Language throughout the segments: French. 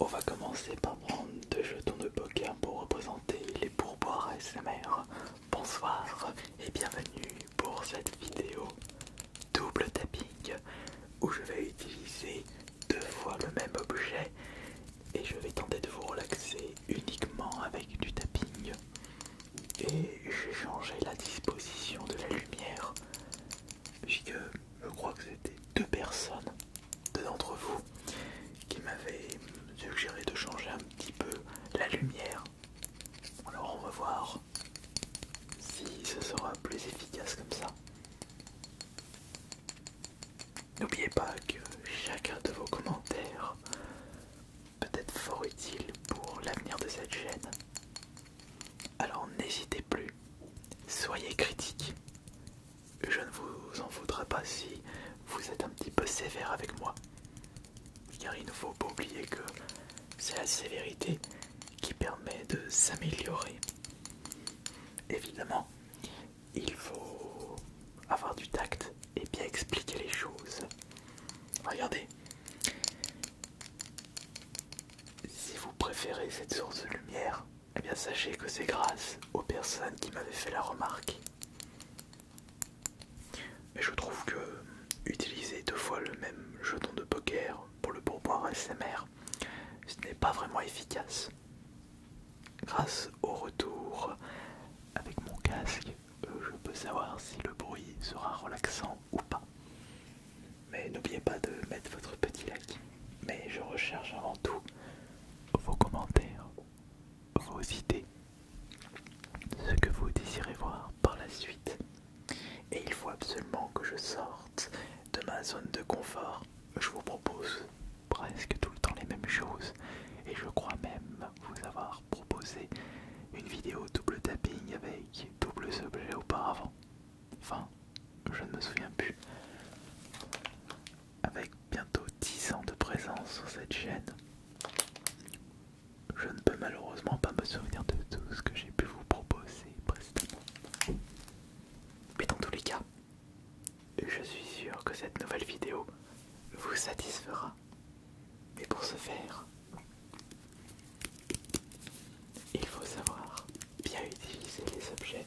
On va commencer par prendre deux jetons de poker pour représenter les pourboires SMR. Bonsoir et bienvenue pour cette vidéo double tapping où je vais utiliser deux fois le même objet et je vais tenter de vous relaxer uniquement avec du tapping. Et j'ai changé la disposition de la lumière Puisque je crois que c'était deux personnes, deux d'entre vous, qui m'avaient suggéré de changer un petit peu la lumière. Alors on va voir si ce sera plus efficace comme ça. N'oubliez pas que chacun de vos commentaires peut être fort utile pour l'avenir de cette chaîne. Alors n'hésitez plus, soyez critiques, je ne vous en voudrais pas si vous êtes un petit peu sévère avec moi. Car il ne faut pas oublier que c'est la sévérité qui permet de s'améliorer. Évidemment, il faut avoir du tact et bien expliquer les choses. Regardez. Si vous préférez cette source de lumière, eh bien sachez que c'est grâce aux personnes qui m'avaient fait la remarque. Mais je trouve que utiliser deux fois le même jeton de poker pour le pourboire SMR, ce n'est pas vraiment efficace. Grâce au retour avec mon casque, euh, je peux savoir si le bruit sera relaxant ou pas. Mais n'oubliez pas de mettre votre petit like. Mais je recherche avant tout vos commentaires, vos idées, ce que vous désirez voir par la suite. Et il faut absolument que je sorte de ma zone de confort. Je vous propose presque tout le temps les mêmes choses. Et je crois même vous avoir proposé une vidéo double tapping avec doubles objets auparavant. Enfin, je ne me souviens plus, avec bientôt 10 ans de présence sur cette chaîne. Je ne peux malheureusement pas me souvenir de tout ce que j'ai pu vous proposer précédemment. Mais dans tous les cas, je suis sûr que cette nouvelle vidéo vous satisfera. Et pour ce faire, il faut savoir bien utiliser les objets.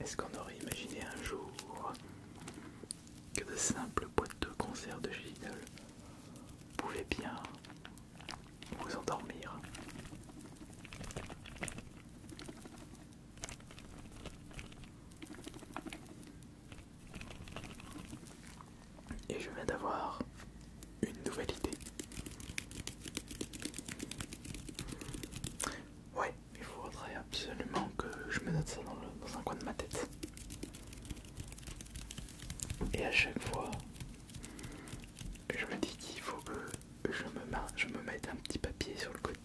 Est-ce qu'on aurait imaginé un jour que de simples boîtes de concert de chez pouvaient bien vous endormir. Et je viens d'avoir une nouvelle idée. Ouais, il faudrait absolument que je me note ça dans, le, dans un coin de ma tête. Et à chaque fois je me dis qu'il faut que je me, je me mette un petit papier sur le côté.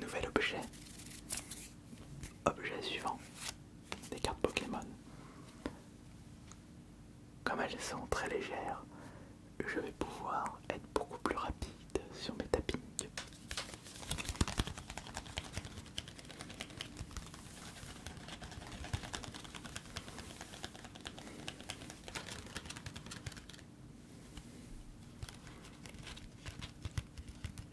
Nouvel objet Objet suivant, des cartes Pokémon. Comme elles sont très légères, je vais pouvoir être beaucoup plus rapide sur mes tappings.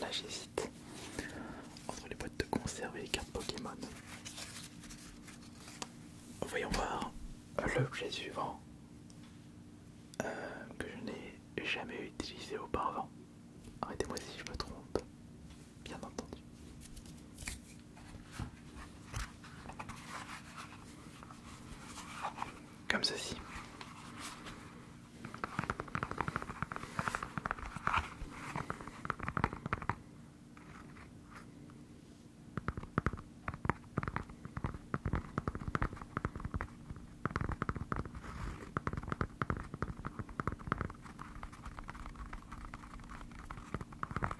Là j'hésite entre les boîtes de conserve et les cartes Pokémon. Voyons voir l'objet suivant euh, que je n'ai jamais utilisé auparavant. Arrêtez-moi si je me trompe, bien entendu. Comme ceci.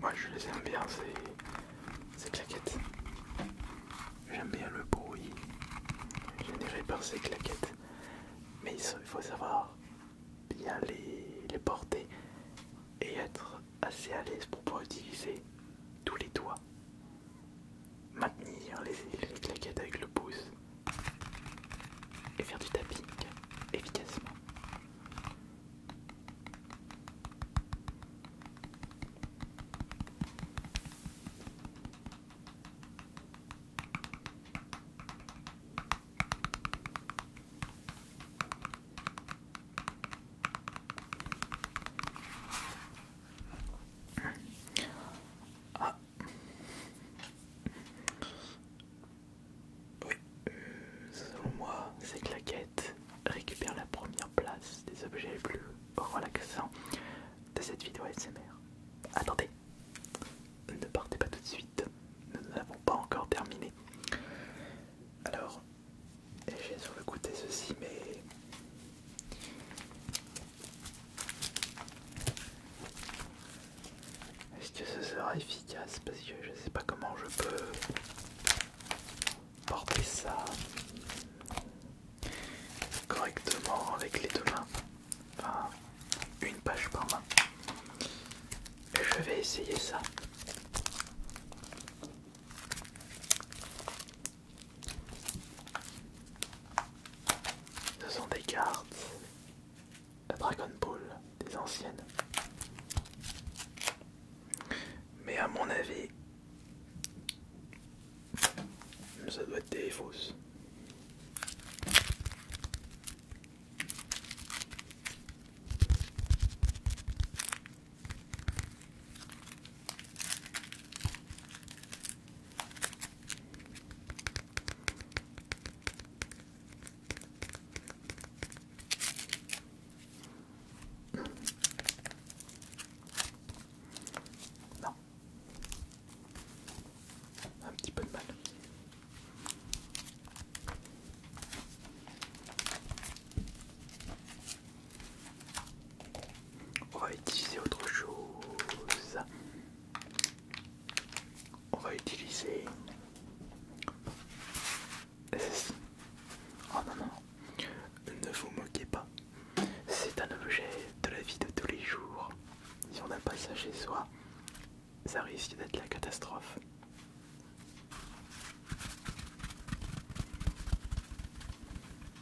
Moi je les aime bien ces, claquettes. J'aime bien le bruit généré par ces claquettes. Mais il faut savoir bien les, les porter et être assez à l'aise pour pouvoir utiliser tous les doigts maintenir les, la claquettes avec le pouce et faire du tapping efficacement. Ah. Oui, euh, selon moi, ces quête récupère la première place des objets les plus relaxants de cette vidéo ASMR. Attendez, ne partez pas tout de suite, nous n'avons pas encore terminé. Alors, j'ai sur le côté ceci, mais est-ce que ce sera efficace Parce que je sais pas comment je peux porter ça correctement avec les deux mains. Enfin, une page par main. je vais essayer ça. Ce sont des cartes Dragon Ball, des anciennes. Mais à mon avis, ça doit être des fausses. Non. Un petit peu de mal. On va utiliser autre chose. On va utiliser... Oh non non, ne vous moquez pas. C'est un objet de la vie de tous les jours. Si on n'a pas ça chez soi, ça risque d'être la catastrophe.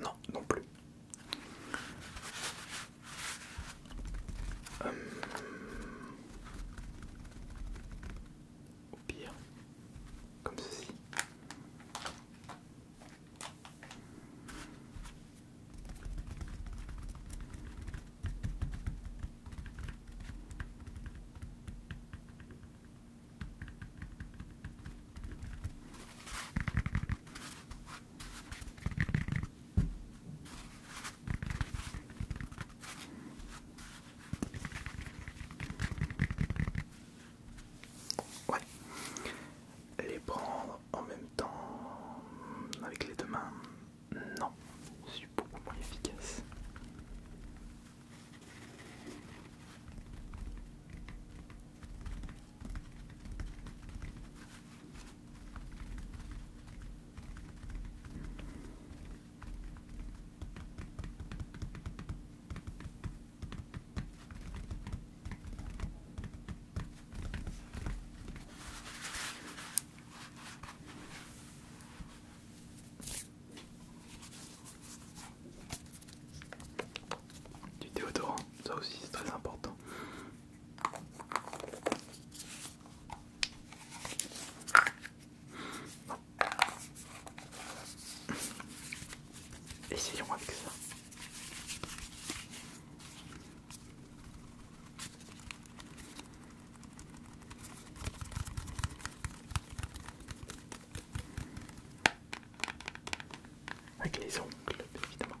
Non, non plus. Hum. Au pire, comme ceci. Ouais. Les prendre en même temps avec les deux mains, non, je suis beaucoup moins efficace. Du déodorant, ça aussi c'est très important. Essayons avec ça. Avec les ongles, évidemment.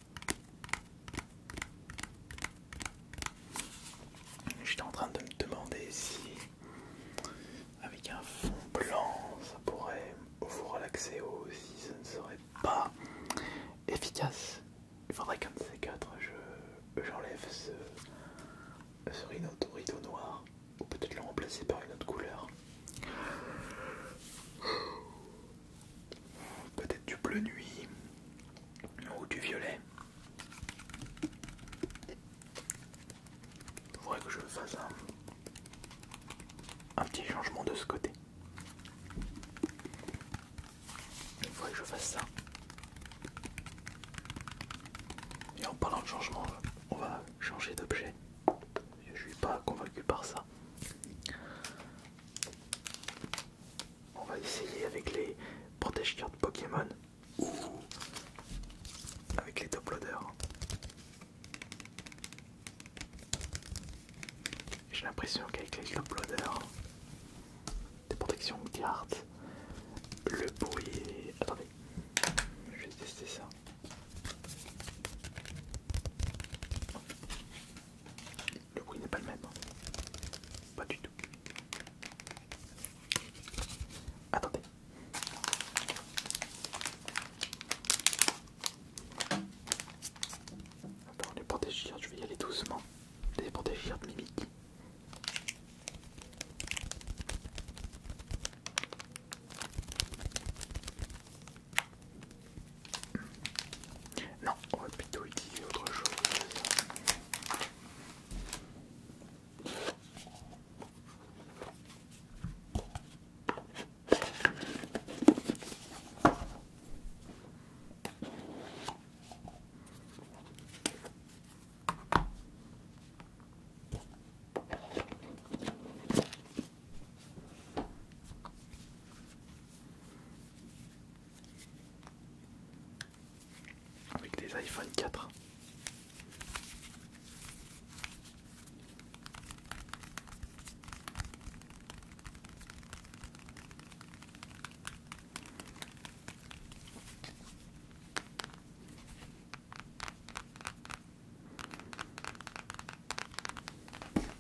J'étais en train de me demander si avec un fond blanc ça pourrait vous relaxer ou si ça ne serait pas efficace. Il faudrait qu'un de ces quatre j'enlève ce, ce rideau noir ou peut-être le remplacer par une autre couleur. Peut-être du bleu nuit ou du violet. Il faudrait que je fasse un, petit changement de ce côté. Il faudrait que je fasse ça. Et en parlant de changement, on va changer d'objet. Je suis pas convaincu par ça on va essayer avec les protège cartes Pokémon ou avec les top loaders. J'ai l'impression qu'avec les top loaders, des protections cartes, le bruit Attendez, je vais tester ça. Le bruit n'est pas le même. Pas du tout. Attendez. Attends, les protégir, je vais y aller doucement. Les protégir de mimique. Non, on va plutôt utiliser autre chose avec des iPhone 4.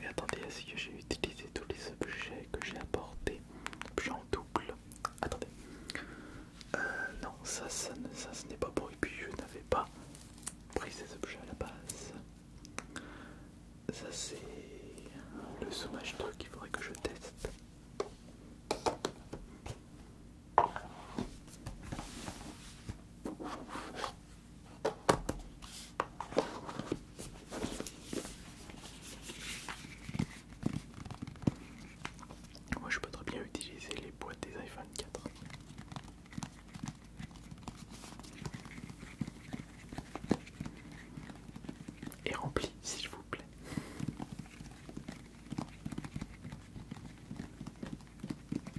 Mais attendez, est-ce que j'ai utilisé tous les objets que j'ai apportés Objets en double. Attendez. Euh, non, ça, ça, ça ce n'est pas pour. Et puis je n'avais pas pris ces objets à la base. Ça, c'est le sommage truc qu'il faudrait que je teste. Moi je peux très bien utiliser les boîtes des iPhone 4. Et remplis, s'il vous plaît.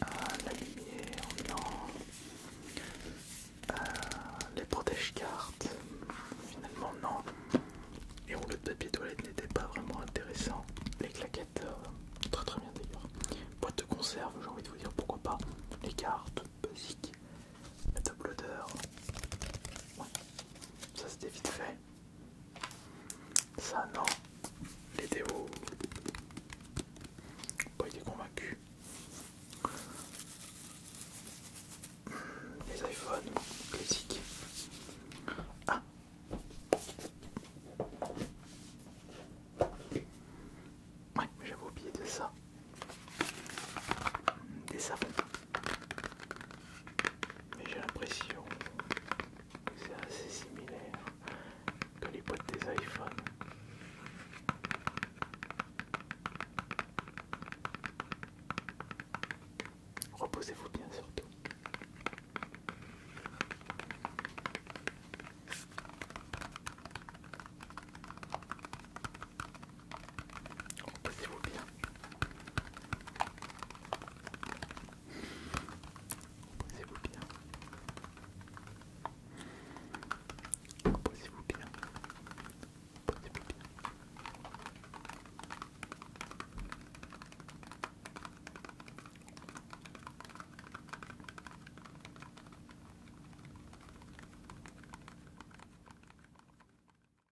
Ah, la lumière, non. Euh, les protège-cartes, finalement non. et rouleaux de papier toilette n'était pas vraiment intéressant, Les claquettes, euh, très très bien d'ailleurs. Boîte de conserve, j'ai envie de vous dire pourquoi pas. Les cartes, basiques. La double odeur. Ouais. Ça c'était vite fait. Ça non. Les déos. Pas oh, été convaincu. Hmm, les iPhones classiques. Ah. Ouais, j'avais oublié de ça. Des savons. Mais j'ai l'impression que c'est assez similaire que les boîtes des iPhones. Reposez-vous bien surtout. Tenez-vous bien. Posez-vous bien. Posez-vous bien. Posez-vous bien.